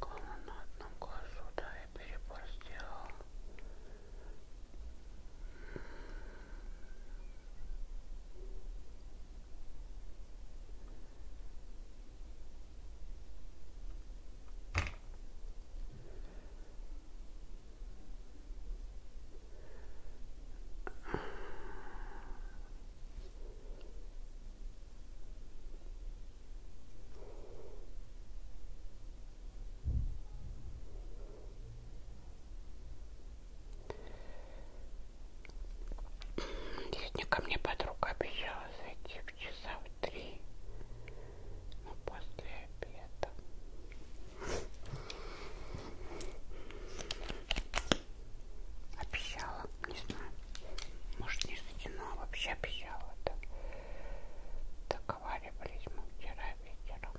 Главное, на одном глазу, да, я перебор сделала. Сегодня ко мне подруга обещала зайти в часа в три, ну, после обеда. Обещала, не знаю, может не сутяна, а вообще обещала, да. Договаривались мы вчера вечером.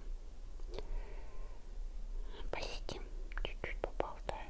Посидим, чуть-чуть поболтаем.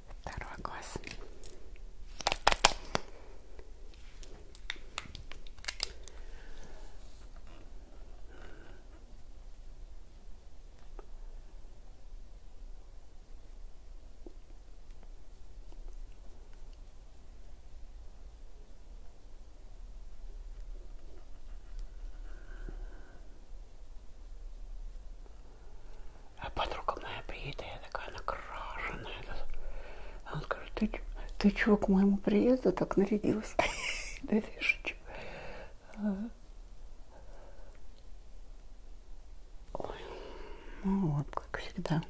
второй глаз. А подруга моя приедет, а я такая накрашенная. А он скажет, ты, ты чего к моему приезду так нарядилась? Да я шучу. Ой, ну вот, как всегда.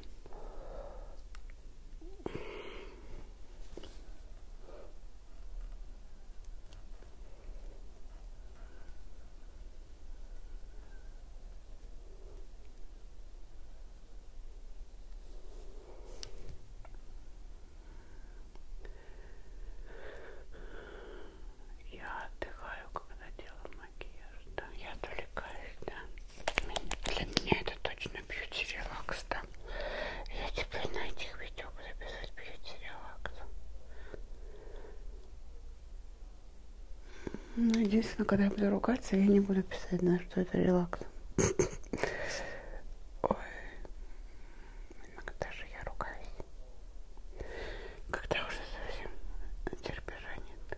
Я отдыхаю, когда делаю макияж, да, я отвлекаюсь, да. Для меня это точно бьюти-релакс, да. Я теперь типа на этих видео буду писать бьюти-релакс. Ну, единственное, когда я буду ругаться, я не буду писать, на что это релакс. Ой, иногда же я ругаюсь. Когда уже совсем терпежа нет.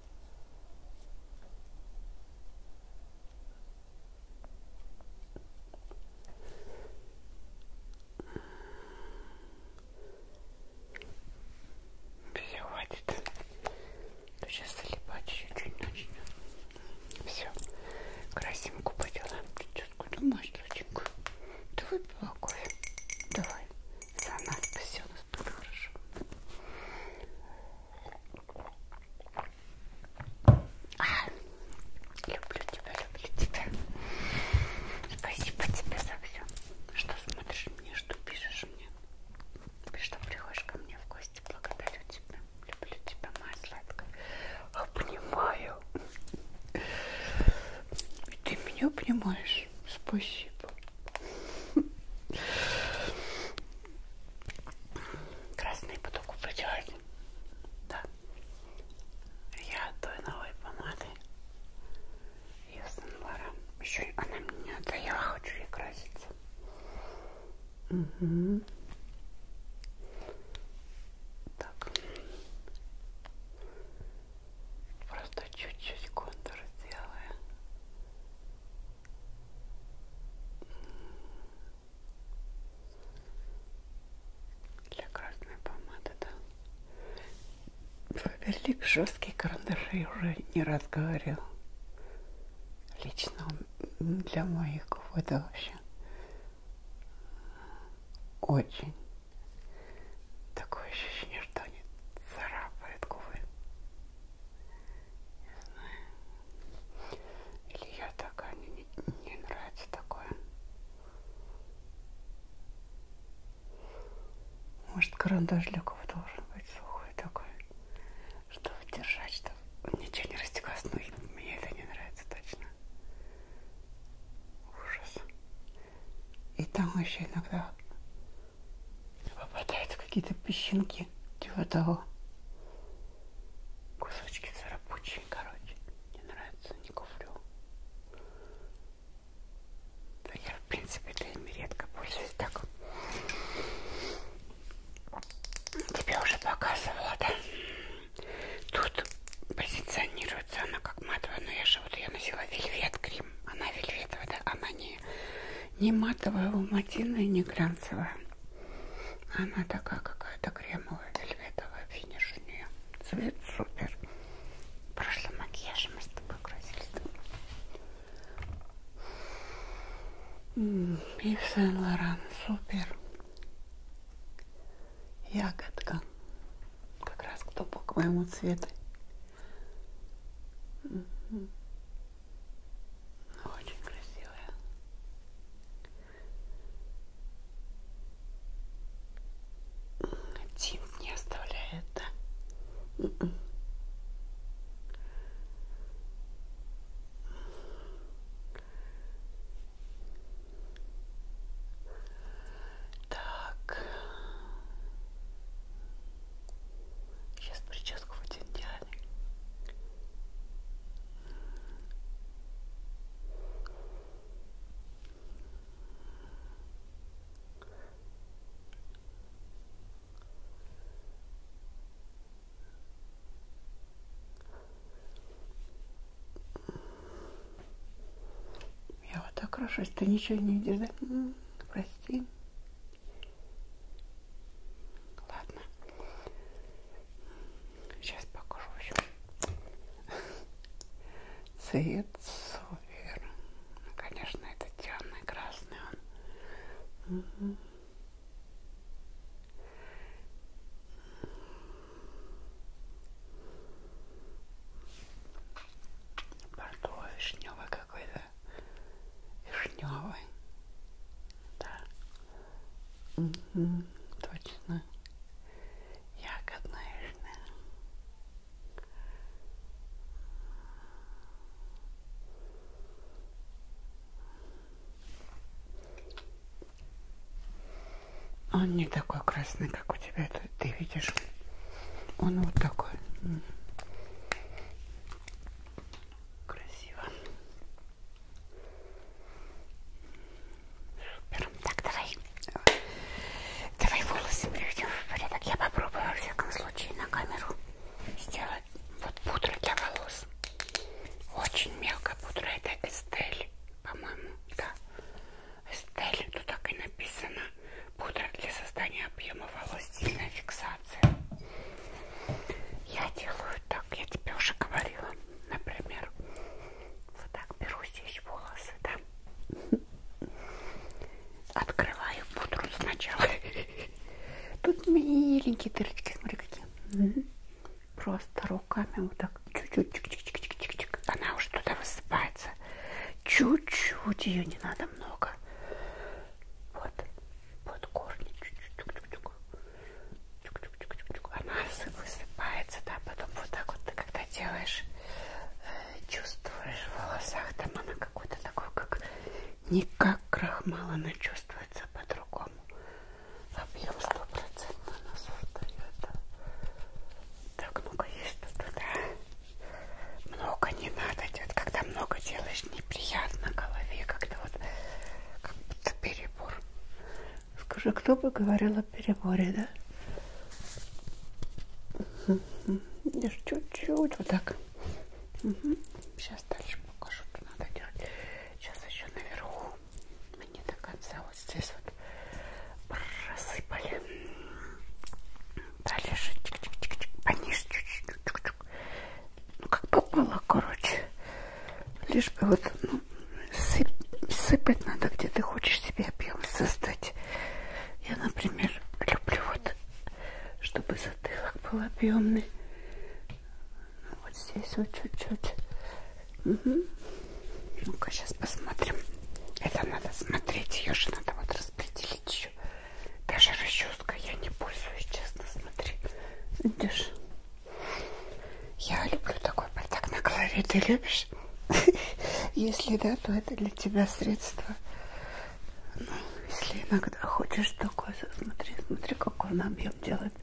Все, хватит. Ты ну, сейчас залипать еще чуть начнет. Все. Красинку поделаем. Прическу, думаешь, доченька? Ты выпила кофе? Давай. За нас спасена просто хорошо. А, люблю тебя, люблю тебя. Спасибо тебе за все, что смотришь мне, что пишешь мне, что приходишь ко мне в гости. Благодарю тебя. Люблю тебя, моя сладкая. Обнимаю. И ты меня обнимаешь. Спасибо. Красный поток упротивать. Да. Я от той новой помады. Юсенбара. Еще она мне отдала, хочу и краситься. Угу. Так. Просто чуть-чуть контур сделаю. Для красной помады, да. Фаберлик жесткие карандаши уже не раз говорил. Лично он для моих губ это вообще очень такое ощущение, что они царапают губы знаю. Или я такая, мне не нравится такое. Может, карандаш для кого должен быть сухой такой, чтобы держать, чтобы ничего не растеклось. Ну, мне это не нравится точно. Ужас. И там еще иногда попадаются какие-то песчинки типа того. Кусочки царапучие, короче. Мне нравится, не куплю. Да я, в принципе, этими редко пользуюсь. Так, тебе уже показывала, да? Тут позиционируется она как матовая, но я же вот ее носила вельвет крем. Она вельветовая, да? Она не не, не матовая луматина не глянцевая. Она такая какая-то кремовая, вельветовая финиш у нее. Цвет супер. Прошлым макияжем мы с тобой красились. И Сен-Лоран супер. Ягодка. Как раз кто по моему цвету. Очень красивая. Тинт не оставляет, да? Mm -mm. Так. Сейчас прическу будем делать. Я вот так хорошо, если ты ничего не видишь, да? Прости. Ладно. Сейчас покажу еще. Цвет супер. Ну, конечно, это темный красный он. Угу. Бордовый, вишневый какой-то вишневый. Да. Угу, точно. Ягодная вишня. Он не такой красный, как у тебя. Ты, ты видишь? Он вот такой. Красиво. Супер. Так, давай. Давай волосы приведем в порядок. Я попробую, во всяком случае, на камеру сделать вот пудру для волос. Очень мелкая пудра. Это Эстель, по-моему. Да. Эстель. Тут так и написано. Пудра для создания объема волос. Сильная фиксация ситуации. Я делаю так, я тебе уже говорила, например, вот так беру здесь волосы, да, открываю пудру сначала. Тут миленькие дырочки, смотри какие. Просто руками вот так чуть-чуть, она уже туда высыпается. Чуть-чуть ее не надо много. Вот, вот корни чуть-чуть, она высыпается, да, потом вот так вот ты когда делаешь, э, чувствуешь в волосах, там она какой-то такой, как не как крахмал, она чувствуется по-другому. Объем стопроцентно она создает. Так, ну-ка, есть тут, да? Много не надо, идет, когда много делаешь, неприятно голове, когда вот как будто перебор. Скажи, кто бы говорил о переборе, да? Угу. Лишь чуть-чуть вот так. Угу. Сейчас дальше покажу, что надо делать. Сейчас еще наверху. Мне до конца вот здесь вот просыпали. Дальше чик-чик-чик-чик. Пониже чуть-чуть немножечко. Ну, как попало, короче. Лишь бы вот ну, сып, сыпать надо, где ты хочешь себе объем создать. Я, например, люблю вот, чтобы затылок был объемный. Ну, вот здесь вот чуть-чуть. Угу. Ну-ка, сейчас посмотрим. Это надо смотреть, ее же надо вот распределить еще. Даже расческа я не пользуюсь, честно, смотри. Видишь? Я люблю такой бардак на голове. Ты любишь? Если да, то это для тебя средство. Ну, если иногда хочешь такое, смотри, смотри, какой он объем делает.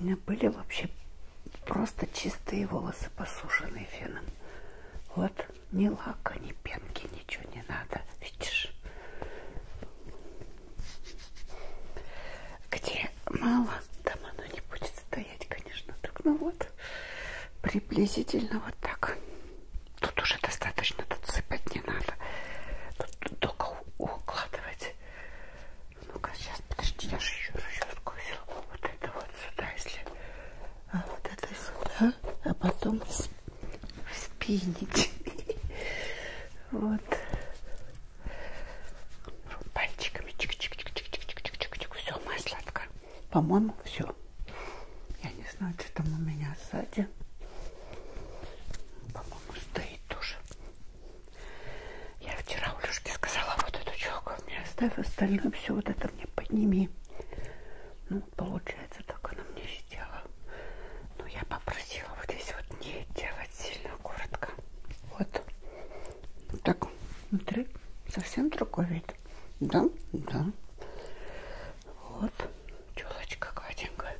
У меня были вообще просто чистые волосы, посушенные феном. Вот, ни лака, ни пенки, ничего не надо, видишь? где мало, там оно не будет стоять, конечно, так, ну вот, приблизительно вот так. Тут уже достаточно, тут сыпать не надо, тут только укладывать. Ну-ка, сейчас, подожди, я же еще расческую вот это вот сюда, если, а вот это сюда, а потом спинить. Вот вот пальчиками чик-чик-чик-чик-чик-чик-чик. Все, моя сладкая. По-моему, все. Я не знаю, что там у меня сзади. По-моему, стоит тоже. Я вчера Улюшке сказала, вот эту челку мне оставь, остальное все вот это мне подними. Ну, получается, так она мне сделала. Но я попросила вот здесь вот не делать давайте сильно коротко. Вот. вот так внутри совсем другой вид. Да, да. Вот. Челочка гладенькая.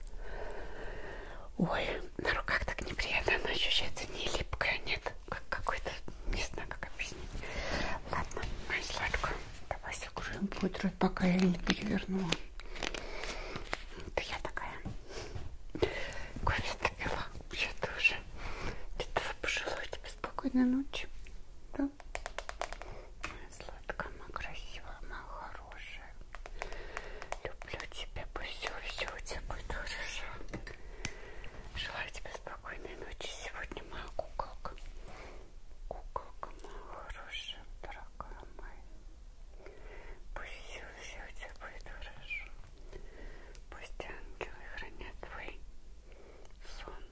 Ой, на руках так неприятно. Она ощущается не липкая, нет. Как какой-то, не знаю, как объяснить. Ладно, моя сладкая. Давай согружим пудрой, пока я не перевернула. Это я такая. Кофе допила, я тоже. Этого пожелаю тебе спокойной ночи. Да? Моя сладкая, моя красивая, моя хорошая. Люблю тебя, пусть все, все у тебя будет хорошо. Желаю тебе спокойной ночи. Сегодня моя куколка. Куколка моя хорошая, дорогая моя. Пусть все у тебя будет хорошо. Пусть ангелы хранят твой сон.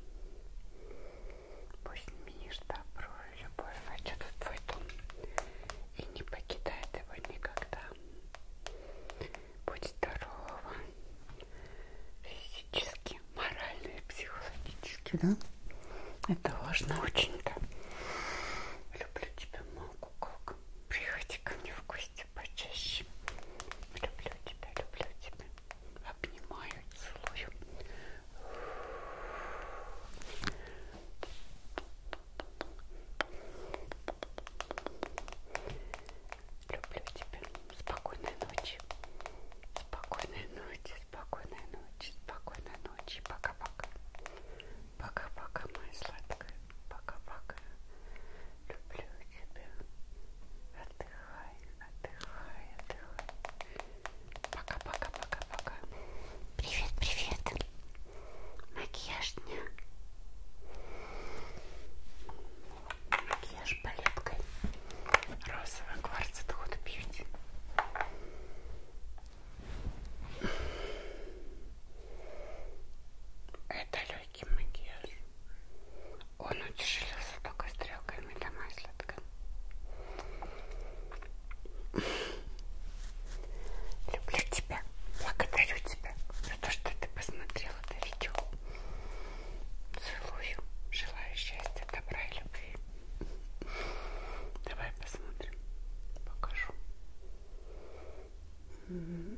Пусть мир, добро и любовь войдет в твой дом и не покидает его никогда. Будь здорова физически, морально и психологически, да? Это важно очень-то. Люблю тебя, мол куколка, приходи ко мне в гости почаще. Люблю тебя, люблю тебя. Обнимаю, целую. Люблю тебя. Спокойной ночи. Спокойной ночи, спокойной ночи, спокойной ночи. Пока-пока. Пока-пока, моя сладкая. Пока-пока. Люблю тебя. Отдыхай, отдыхай, отдыхай. Пока-пока-пока-пока. Привет-привет. Макияж дня. Макияж палеткой. Розовый кварцит ход бьюти. Это легкий макияж. Он утяжелился только стрелками до маслятка. Люблю тебя. Благодарю тебя за то, что ты посмотрела это видео. Целую. Желаю счастья, добра и любви. Давай посмотрим. Покажу. Угу.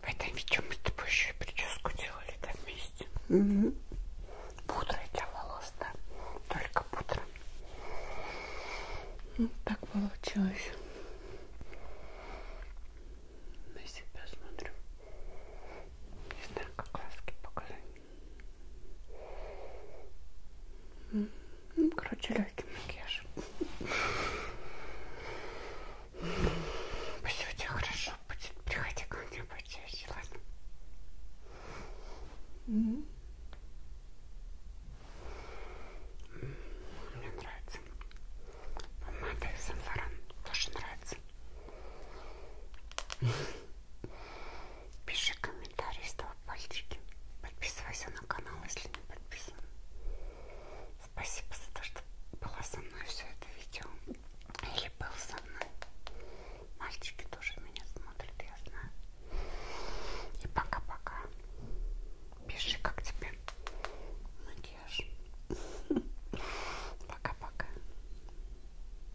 В этом видео мы с тобой еще и прическу делали да, вместе. Угу. Пудрой для волос, да? Только пудра. Вот ну, так получилось. На себя смотрю. Не знаю, как ласки показать. Ну, короче, легкий макияж. Все у тебя хорошо будет. Приходи ко мне почаще, ладно? Mm-hmm. Мне нравится. Помада из Сен-Лоран тоже нравится. Пиши комментарий, ставь пальчики. Подписывайся на канал, если не подписан. Спасибо за то, что была со мной все это видео. Или был со мной. Мальчики тоже меня смотрят, я знаю. И пока-пока. Пиши, как тебе макияж. Пока-пока.